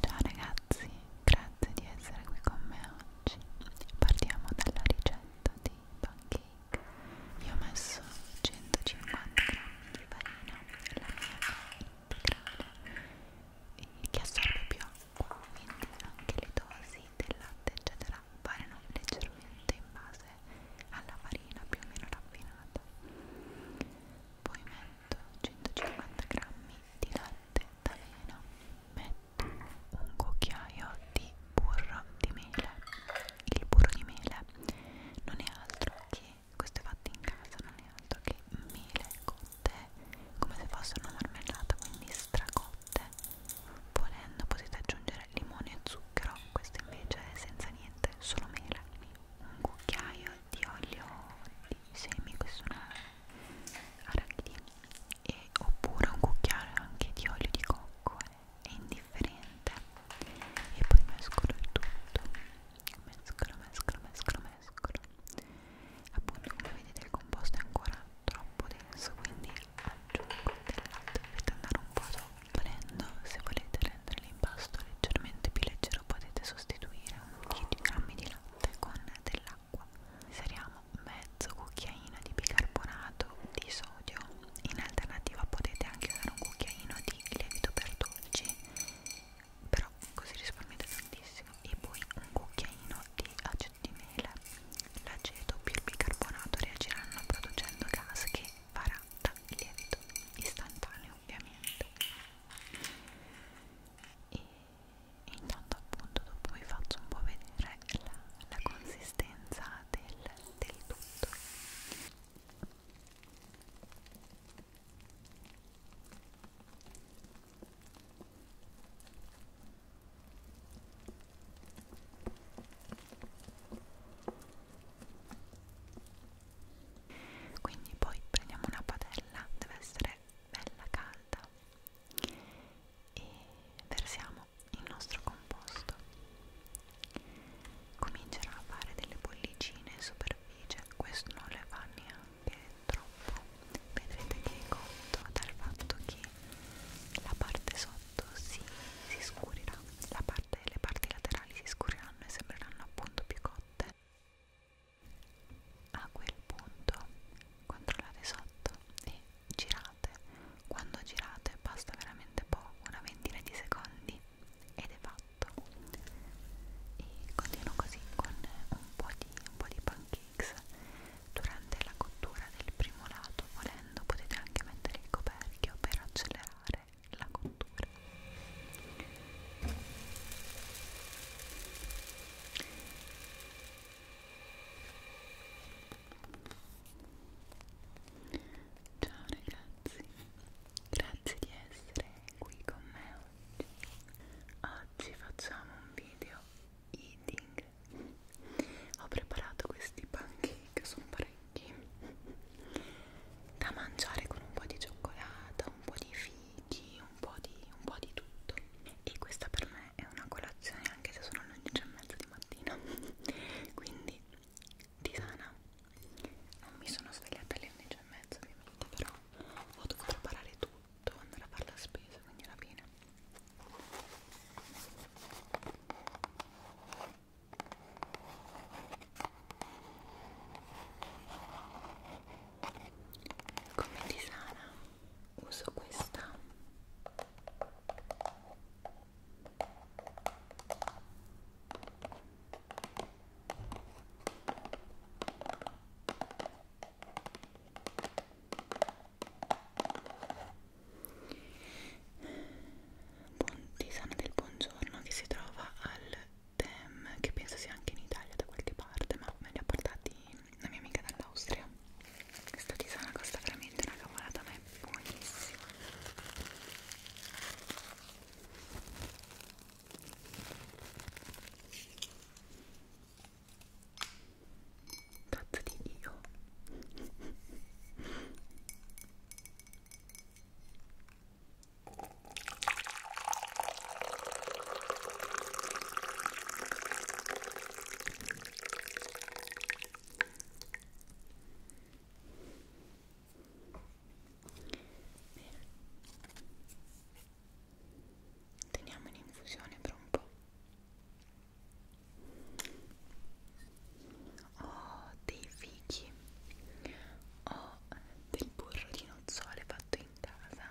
Ciao ragazzi, grazie di essere qui con me oggi. Partiamo dalla ricetta di pancake. Io ho messo 150 g di farina, la mia è integrale e che assorbe più acqua, quindi anche le dosi sì, del latte eccetera variano leggermente in base alla farina più o meno raffinata poi metto 150 grammi di latte d'avena metto un cucchiaio di burro di mele il burro di mele non è altro che questo è fatto in casa non è altro che mele cotte come se fossero una marmellata quindi stracotte Volendo potete aggiungere limone e zucchero, questo invece è senza niente, solo mela. Un cucchiaio di olio di semi, questo è arachidi, e oppure un cucchiaio anche di olio di cocco, è indifferente. E poi mescolo il tutto, mescolo, mescolo, mescolo, mescolo. Appunto come vedete il composto è ancora troppo denso quindi aggiungo del latte dovete andare un po' volendo se volete rendere l'impasto leggermente più leggero potete sostituire 10 g di latte con dell'acqua inseriamo mezzo cucchiaino di bicarbonato di sodio in alternativa potete anche usare un cucchiaino di lievito per dolci però così risparmiate tantissimo e poi un cucchiaino di di mele, l'aceto più il bicarbonato reagiranno producendo gas che farà il lievito istantaneo ovviamente. E intanto appunto dopo vi faccio un po' vedere la, la consistenza del, del tutto quindi poi prendiamo una padella deve essere bella calda e versiamo il nostro composto comincerò a fare delle bollicine in superficie questo non le fa neanche troppo vedrete che è cotto dal fatto che la parte sotto si, si scurirà, la parte, le parti laterali si scuriranno e sembreranno appunto più cotte. A quel punto controllate sotto e girate. Quando girate basta veramente poco, una ventina di secondi ed è fatto. E continuo così con un po' di, un po di pancakes Durante la cottura del primo lato, volendo, potete anche mettere il coperchio per accelerare la cottura. Ciao ragazzi, grazie di essere qui con me oggi. Oggi facciamo un video eating ho preparato questi pancake sono parecchi da mangiare con un po' di cioccolata un po' di fichi un po' di, un po di tutto e questa per me è una colazione anche se sono alle 11 e mezza di mattina quindi tisana non mi sono svegliata alle 11 e mezza ovviamente però ho dovuto preparare tutto andare a fare la spesa quindi alla fine come tisana uso questa Buon tisana del buongiorno che si trova al Tem, che penso sia anche in Italia da qualche parte, ma me li ha portati la mia amica dall'Austria. Questa tisana costa veramente una cavolata, ma è buonissima cazzo di dio Bene. Teniamo in infusione per un po' ho oh, dei fichi ho oh, del burro di nozzole fatto in casa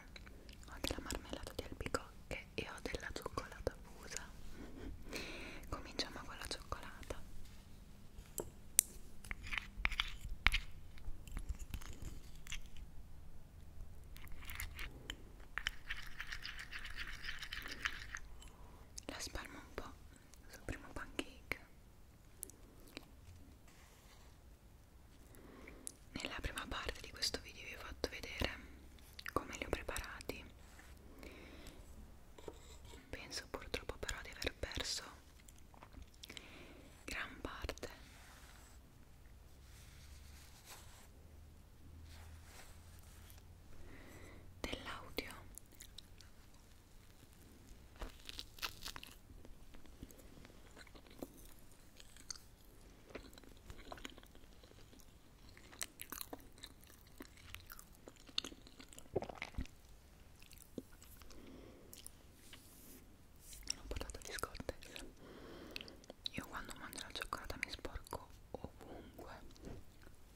ho della marmellata di albicocche e ho della cioccolata fusa cominciamo con la cioccolata la spalmo un po' sul primo pancake nella prima parte di questo video vi ho fatto vedere come li ho preparati penso purtroppo però di aver perso gran parte dell'audio non ho parlato di scotte io quando mangio la cioccolata mi sporco ovunque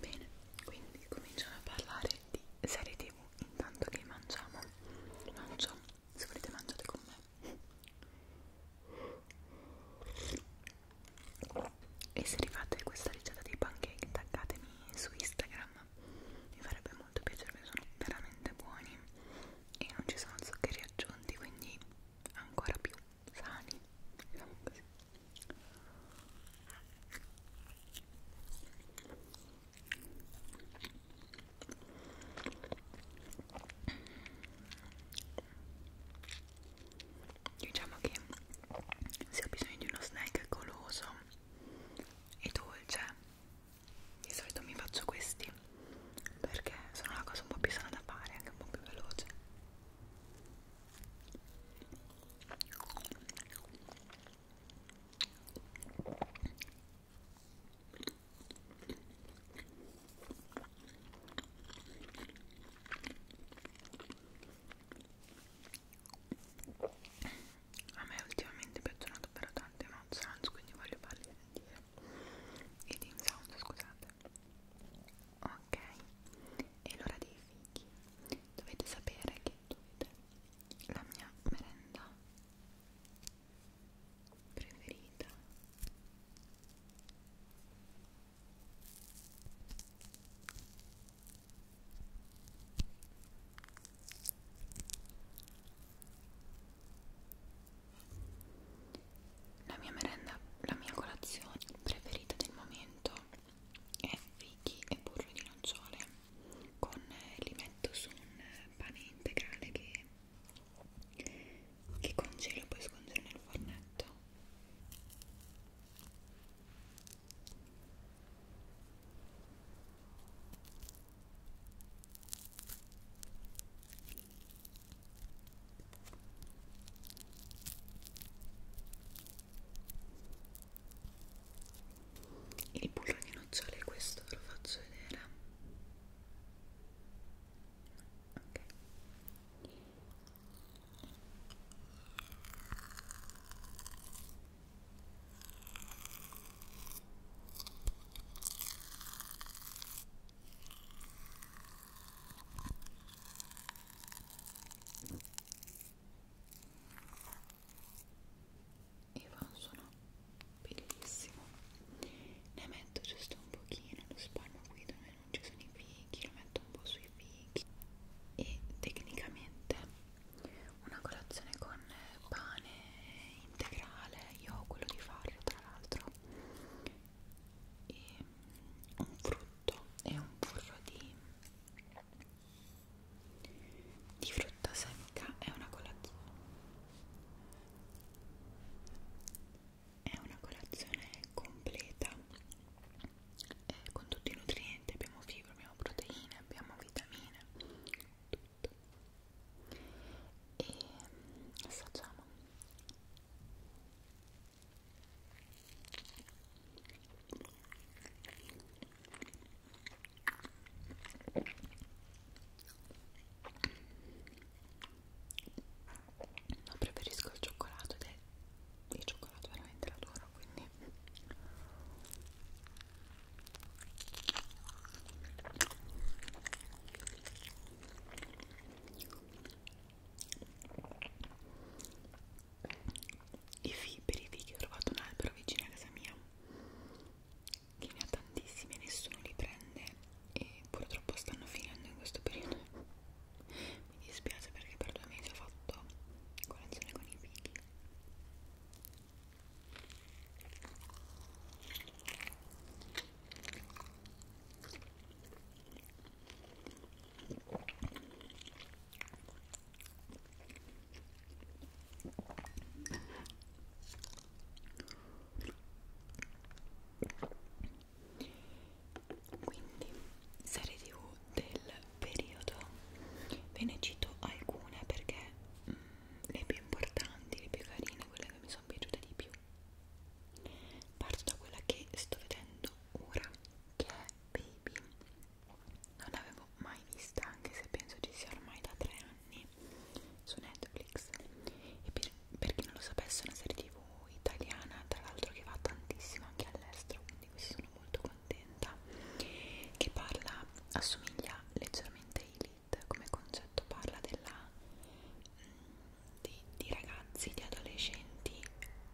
Bene, quindi cominciamo a parlare di serie tv intanto che mangiamo. Mangio, se volete mangiate con me. E se rifate questa ricetta dei pancake taggatemi su Instagram, mi farebbe molto piacere perché sono veramente buoni e non ci sono zuccheri aggiunti, quindi ancora più sani diciamo così diciamo che se ho bisogno di uno snack goloso e dolce di solito mi faccio questi perché sono la cosa un po' più sana da fare anche un po' più veloce a me ultimamente piacciono davvero tante mouth sounds, quindi voglio farli sentire. I team sound, scusate queste ok e l'ora dei fighi dovete sapere che dovete la mia merenda preferita la mia merenda, la mia colazione preferita del momento è fichi e burro di nocciole con eh, li metto su un pane integrale che, che congelo e poi scongelo nel fornetto il burro di nocciole, questo ve lo faccio vedere. Ok e fa un suono bellissimo ne metto giusto un pochino lo spalmo qui dove non ci sono i fichi lo metto un po' sui fichi e tecnicamente una colazione con pane integrale io ho quello di farlo tra l'altro e un frutto e un burro di, di frutta secca è una colazione è una colazione completa eh, con tutti i nutrienti abbiamo fibre, abbiamo proteine, abbiamo vitamine tutto e mm, assaggiamo No, preferisco il cioccolato ed è il cioccolato veramente l'adoro, quindi i fibri di che ho trovato un albero vicino a casa mia che ne ha tantissimi e nessuno li prende e purtroppo stanno finendo in questo periodo mi dispiace perché per due mesi ho fatto colazione con i fighi quindi, serie tv del periodo, ve ne cito alcune perché mh, mm, le più importanti, le più carine, quelle che mi sono sono piaciute di più parto da quella che sto vedendo ora che è Baby non l'avevo mai vista anche se penso ci sia ormai da tre anni su Netflix e per, per chi non lo sapesse è una serie tv italiana tra l'altro che va tantissimo anche all'estero quindi qui sono molto contenta che parla assomiglia leggermente a Elite come concetto parla della di, di ragazzi, di adolescenti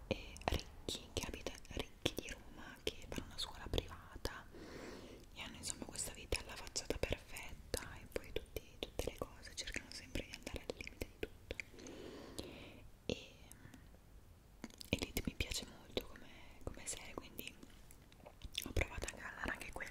e ricchi che abitano ricchi di Roma che fanno una scuola privata e hanno insomma questa vita alla facciata perfetta e poi tutti, tutte le cose cercano sempre di andare al limite di tutto e, e Elite mi piace molto come, come serie quindi ho provato a guardare anche quella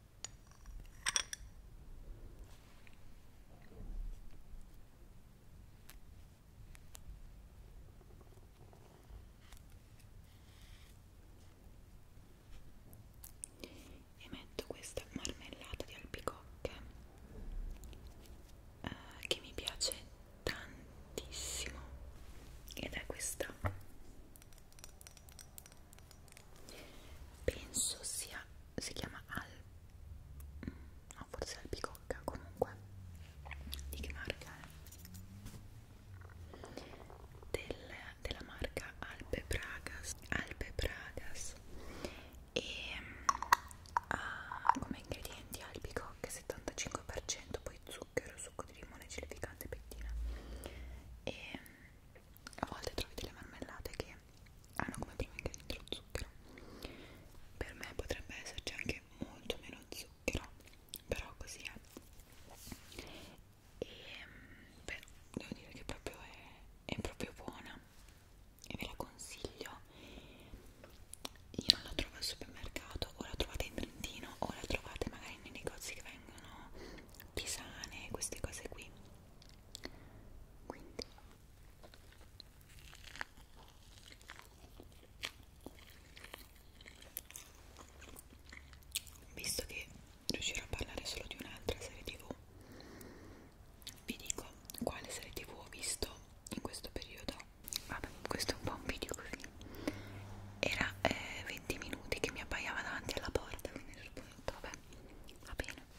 e metto questa marmellata di albicocche eh, che mi piace tantissimo ed è questa penso sia si chiama al no forse albicocca comunque di che marca è Del, della marca Alpe Pragas Alpe Pragas e ha come ingredienti albicocche 75% poi zucchero succo di limone gelificante pettina e a volte trovi delle marmellate che hanno come primo ingrediente lo zucchero per me potrebbe esserci anche molto meno zucchero però così è e mm, beh, devo dire che proprio è, è proprio buona e ve la consiglio io non la trovo al supermercato o la trovate in Trentino o la trovate magari nei negozi che vengono tisane queste cose qui quindi visto che riuscirò a parlare solo di un'altra serie tv vi dico quale serie tv ho visto in questo periodo vabbè questo è un po' un video così era eh, 20 minuti che mi abbaiava davanti alla porta quindi ho detto vabbè va bene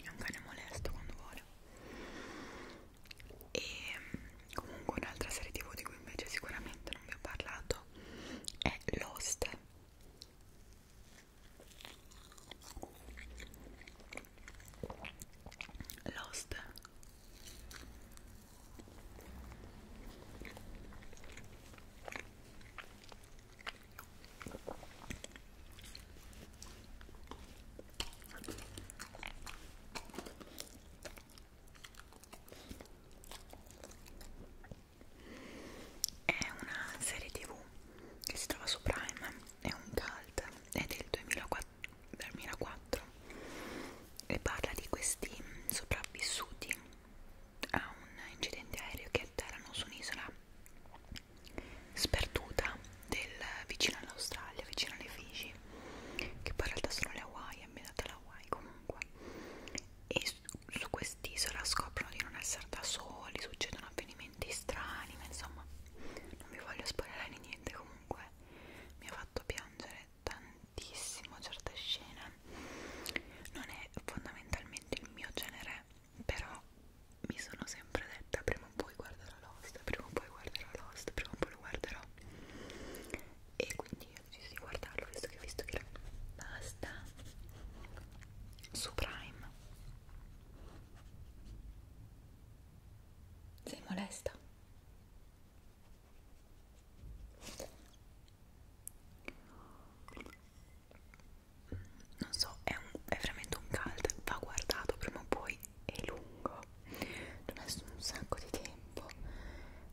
È un cane molesto quando vuole e mm, comunque un'altra serie tv di cui invece sicuramente non vi ho parlato è Lost Lost è una serie tv che si trova su Prime, è un cult, è del 2004 e parla di questi sopravvissuti a un incidente aereo che atterrano su un'isola sperduta del, vicino all'Australia, vicino alle Fiji, che poi in realtà sono le Hawaii, andate all'Hawaii comunque e su, su quest'isola scoprono di non essere da soli succedono avvenimenti strani ma insomma non vi voglio spoilerare niente comunque mi ha fatto piangere tantissimo certe scene non è fondamentalmente il mio genere però mi sono sempre detta prima o poi guarderò Lost prima o poi guarderò Lost prima o poi lo guarderò e quindi ho deciso di guardarlo visto che visto che basta su Prime sei molesta non so è, un, è veramente un cult va guardato prima o poi è lungo ci ho messo un sacco di tempo,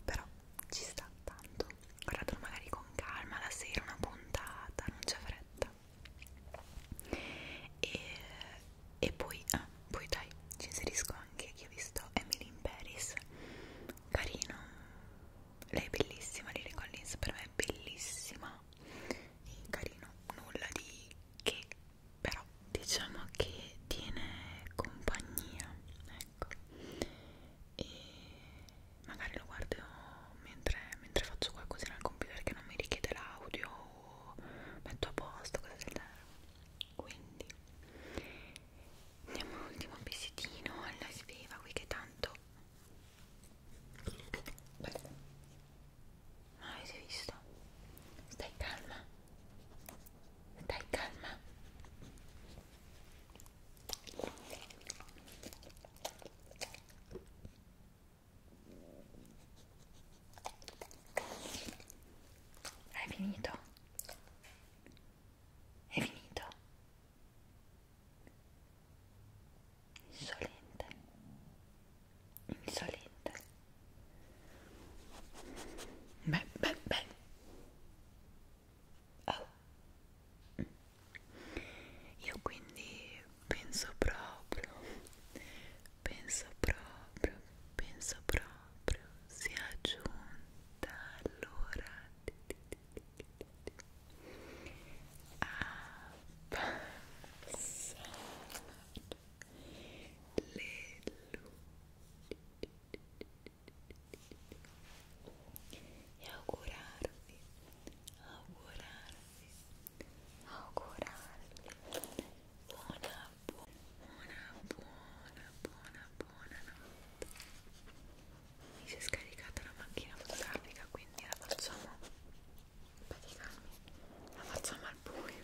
però ci sta tanto. Guardatelo magari con calma la sera, una puntata, non c'è fretta. E, e poi, ah, poi dai, ci inserisco anche chi ho visto Emily in Paris, carino. Lei è bellissima, Lily Collins per me è bellissima. E carino, nulla di che però diciamo che tiene compagnia ecco e magari lo guardo mentre, mentre faccio qualcosa nel computer che non mi richiede l'audio o metto a posto cose del genere quindi andiamo all'ultimo pezzettino alla sveva qui che tanto ma avete visto? stai calma dai, calma. Hai finito? È finito? Insolente. Insolente. Beh, beh, beh. Oh. Io quindi penso proprio, penso proprio, penso proprio sia giunta l'ora a passare le luci e augurarvi, augurarvi, augurarvi buona, buona, buona, buona, buona notte. Mi si è scaricata la macchina fotografica, quindi la facciamo praticamente, la facciamo al buio.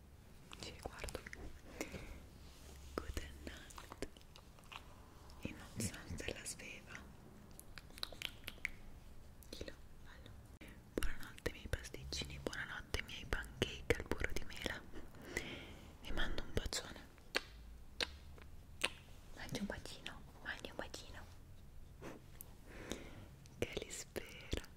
ci riguardo good night e non so se la sveva Chilo, buonanotte miei pasticcini buonanotte miei pancake al burro di mela vi mando un bacione mangi un bacino mangi un bacino che li spera